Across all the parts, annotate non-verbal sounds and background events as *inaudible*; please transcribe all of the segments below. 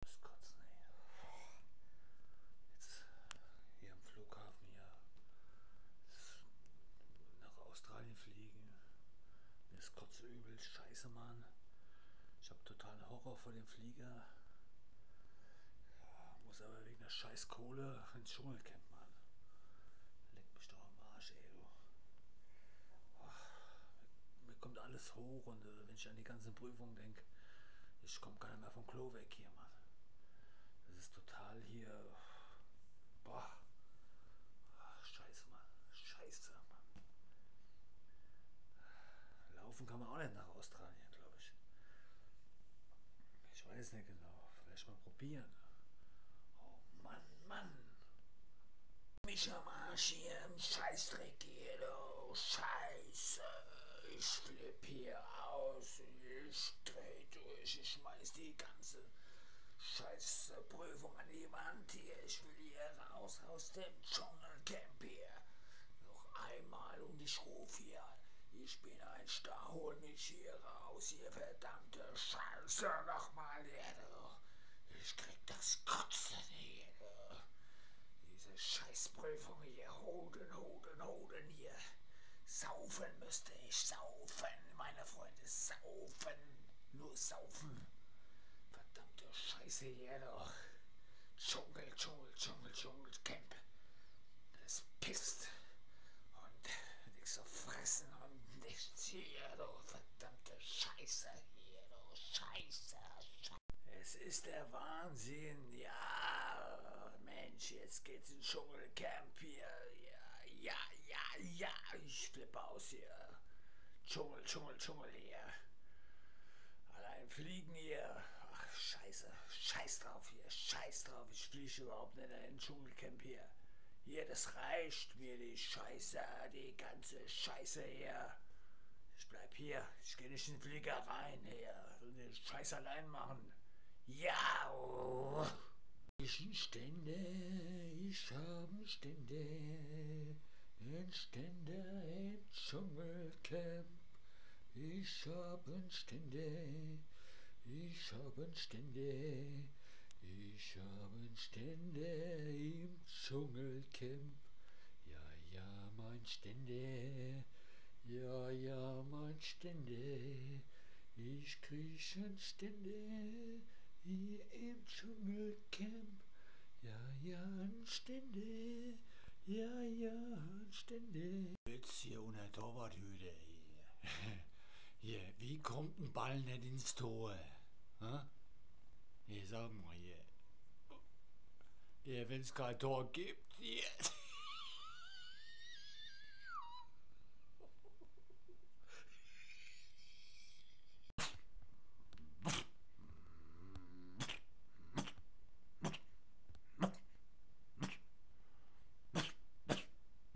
Das Kotzen, ey. Jetzt äh, hier am Flughafen hier nach Australien fliegen. Mir ist kotzübel, scheiße, Mann. Ich habe totalen Horror vor dem Flieger. Ja, muss aber wegen der Scheißkohle ins Dschungelcamp, Mann. Leck mich doch am Arsch, ey. Oh, mir kommt alles hoch und äh, wenn ich an die ganzen Prüfungen denke, ich komme gar nicht mehr vom Klo weg hier, Mann. Das ist total hier. Boah. Ach, scheiße, Mann. Scheiße, Mann. Laufen kann man auch nicht nach Australien, glaube ich. Ich weiß nicht genau. Vielleicht mal probieren. Oh Mann, Mann. Mich am Arsch hier im Scheißdreck hier, du Scheiße. Ich flipp hier aus, ich dreh durch, ich schmeiß die ganze Scheiße Prüfung an die Wand hier. Ich will hier raus aus dem Dschungelcamp hier. Noch einmal und ich ruf hier. Ich bin ein Star, hol mich hier raus, ihr verdammte Scheiße. Nochmal hier, du ich krieg das Kotzen hier. Diese Scheißprüfung hier. Hoden, Hoden, Hoden hier. Saufen müsste ich. Saufen, meine Freunde. Saufen. Nur saufen. Verdammte Scheiße hier doch. Dschungel, Dschungel, Dschungel, Dschungelcamp. Das pisst. Und nichts zu fressen und nichts hier, du verdammt verdammte Scheiße hier, du Scheiße, Scheiße. Es ist der Wahnsinn, ja, Mensch, jetzt geht's ins Dschungelcamp hier, ja, ja, ja, ja, ich flippe aus hier. Dschungel, Dschungel, Dschungel hier. Allein fliegen hier. Ach, scheiße. Scheiß drauf hier. Scheiß drauf. Ich fliege überhaupt nicht in ein Dschungelcamp hier. Hier, das reicht mir die Scheiße, die ganze Scheiße hier. Ich bleib hier, ich gehe nicht in den Flieger rein hier. So den Scheiß allein machen. Ja! Oh. Ich Stände, ich habe Stände, ein Stände im Dschungelcamp. Ich habe Stände, ich habe Stände, ich habe Stände im Dschungelcamp. Ja, ja, mein Stände. Ja, ja, mein Stände. Ich kriechen Stände hier im Dschungelcamp. Ja, ja, Stände. Ja, ja, Stände. Jetzt hier unter Torwarthüte. *laughs* hier, wie kommt ein Ball nicht ins Tor? Ha? Hier, sag mal hier. Hier, wenn es kein Tor gibt, hier.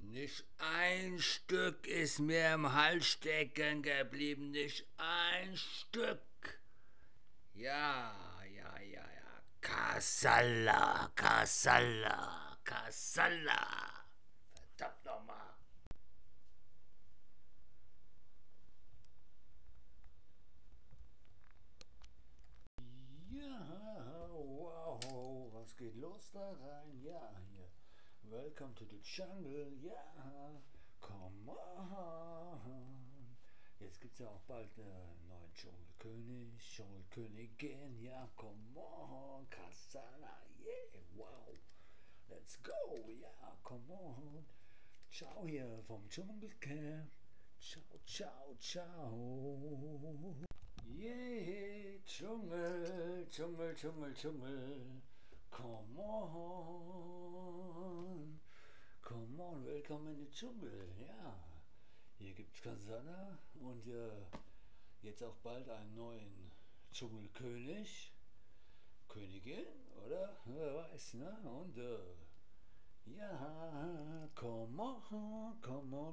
Nicht ein Stück ist mir im Hals stecken geblieben, nicht ein Stück. Ja, ja, ja, ja. Kasala, Kasala, Kasala. Verdammt nochmal. Ja, wow, was geht los da rein? Ja, hier. Welcome to the jungle, ja, come on. Jetzt gibt es ja auch bald einen äh, neuen Dschungelkönig, Dschungelkönigin, ja, come on, Kasana, yeah, wow. Let's go, ja, come on. Ciao hier vom Dschungelcamp. Ciao, ciao ciao, ciao. Yeah, Dschungel, Dschungel, Dschungel, Dschungel. Come on. Come on, willkommen in den Dschungel. Ja, hier gibt's Kansana und äh, jetzt auch bald einen neuen Dschungelkönig. Königin, oder? Wer weiß, ne? Und äh, ja, come on, come on.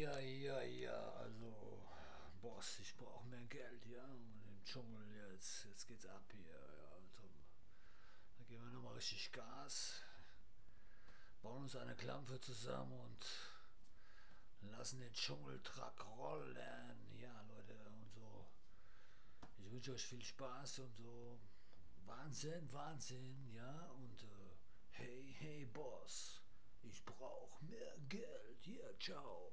Ja, ja, ja, also, Boss, ich brauche mehr Geld, ja, und im Dschungel jetzt, jetzt geht's ab hier, ja, zum, also, da geben wir nochmal richtig Gas, bauen uns eine Klampfe zusammen und lassen den Dschungeltruck rollen, ja, Leute, und so ich wünsche euch viel Spaß und so. Wahnsinn, Wahnsinn, ja. Und äh, hey, hey, Boss, ich brauch mehr Geld. Hier, yeah, ciao.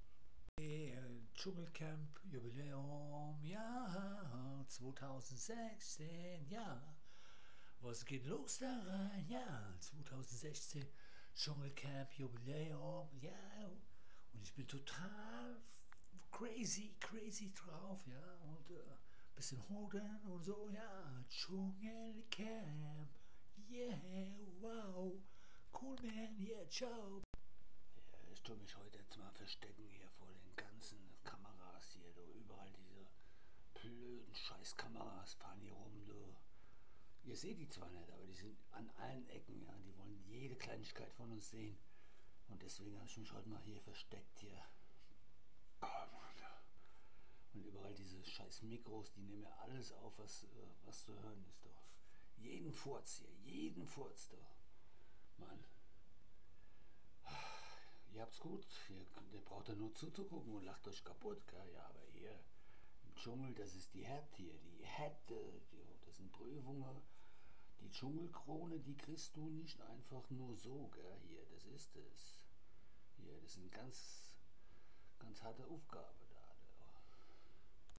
Hey, Dschungelcamp Jubiläum, ja, 2016, ja. Was geht los da rein? Ja, 2016 Dschungelcamp Jubiläum, ja. Und ich bin total crazy, crazy drauf, ja. Und ein äh, bisschen hoden und so, ja. Dschungelcamp, yeah, wow. Cool Man, yeah, ciao. Ja, ich tue mich heute jetzt mal verstecken hier vor den ganzen Kameras hier, du. Überall diese blöden Scheißkameras fahren hier rum, du. Ihr seht die zwar nicht, aber die sind an allen Ecken, ja. Die wollen jede Kleinigkeit von uns sehen. Und deswegen habe ich mich heute mal hier versteckt hier. Oh, Mann. Und überall diese scheiß Mikros los. Die nehmen ja alles auf, was, äh, was zu hören ist doch. Jeden Furz hier, jeden Furz doch. Mann. Ihr habt's gut. Ihr, ihr braucht ja nur zuzugucken und lacht euch kaputt, gell? Ja, aber hier im Dschungel, das ist die Härte hier, die Härte. Das sind Prüfungen. Die Dschungelkrone, die kriegst du nicht einfach nur so, gell? Hier, das ist es. Hier, das sind ganz, ganz harte Aufgabe da.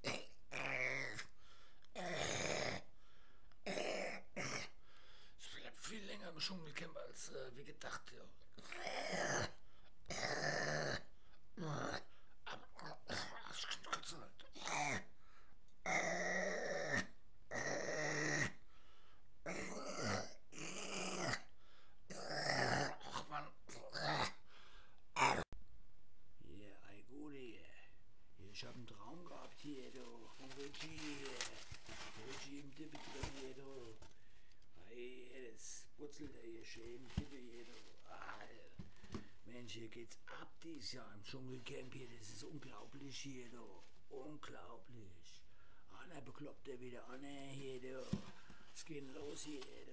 Ich bleibe viel länger im Dschungelcamp als äh, wie gedacht. Ja. Am Arschknutze halt. Ach man. Arr. Hier, Aiguri. Ich hab einen Traum gehabt hier, du. Von Reggie. Reggie im Tippe drin hier, du. Hey, das putzelt er hier schön im Tippe hier, du. Arr. Mensch, hier geht's ab dies Jahr im Dschungelcamp hier. Das ist unglaublich hier, du. Unglaublich. Einer bekloppt er wieder an, hier, du. Es geht los hier, du.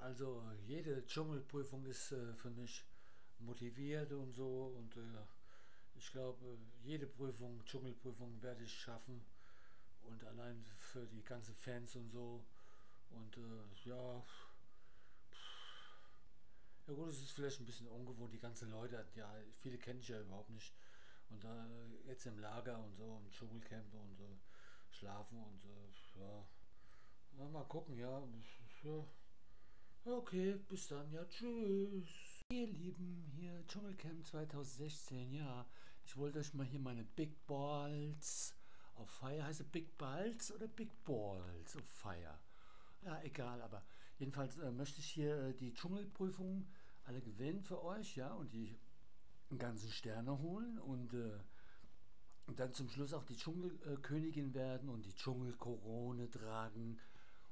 Also jede Dschungel Dschungelprüfung ist äh, für mich motiviert und so. Und äh, ich glaube, äh, jede Prüfung, Dschungelprüfung werde ich schaffen. Und allein für die ganzen Fans und so. Und äh, ja, ja gut, es ist vielleicht ein bisschen ungewohnt, die ganzen Leute, ja, viele kenne ich ja überhaupt nicht. Und da äh, jetzt im Lager und so, im Dschungelcamp und äh, schlafen und ja. Na, mal gucken, ja. Okay, bis dann, ja, tschüss. Ihr Lieben, hier Dschungelcamp 2016, ja. Ich wollte euch mal hier meine Big Balls auf Fire, heiße Big Balls oder Big Balls auf Fire? Ja, egal, aber jedenfalls äh, möchte ich hier äh, die Dschungelprüfungen alle gewinnen für euch, ja, und die ganzen Sterne holen und äh, und dann zum Schluss auch die Dschungel Dschungelkönigin werden und die Dschungelkorone tragen.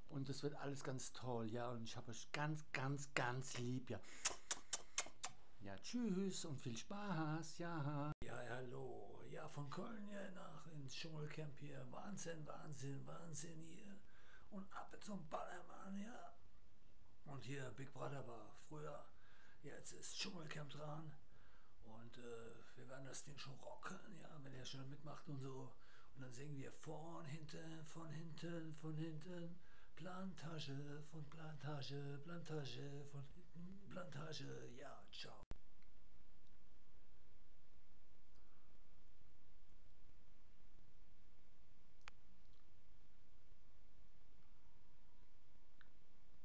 Und das wird alles ganz toll, ja. Und ich habe euch ganz, ganz, ganz lieb, ja. Ja, tschüss und viel Spaß, ja. Ja, hallo. Ja, von Köln hier nach ins Dschungelcamp hier. Wahnsinn, Wahnsinn, Wahnsinn hier. Und ab zum Ballermann, ja. Und hier, Big Brother war früher Jetzt ist Dschungelcamp dran und äh, wir werden das Ding schon rocken, ja, wenn er schon mitmacht und so. Und dann singen wir von hinten, von hinten, von hinten, Plantage, von Plantage, Plantage, von hinten, Plantage, ja, ciao.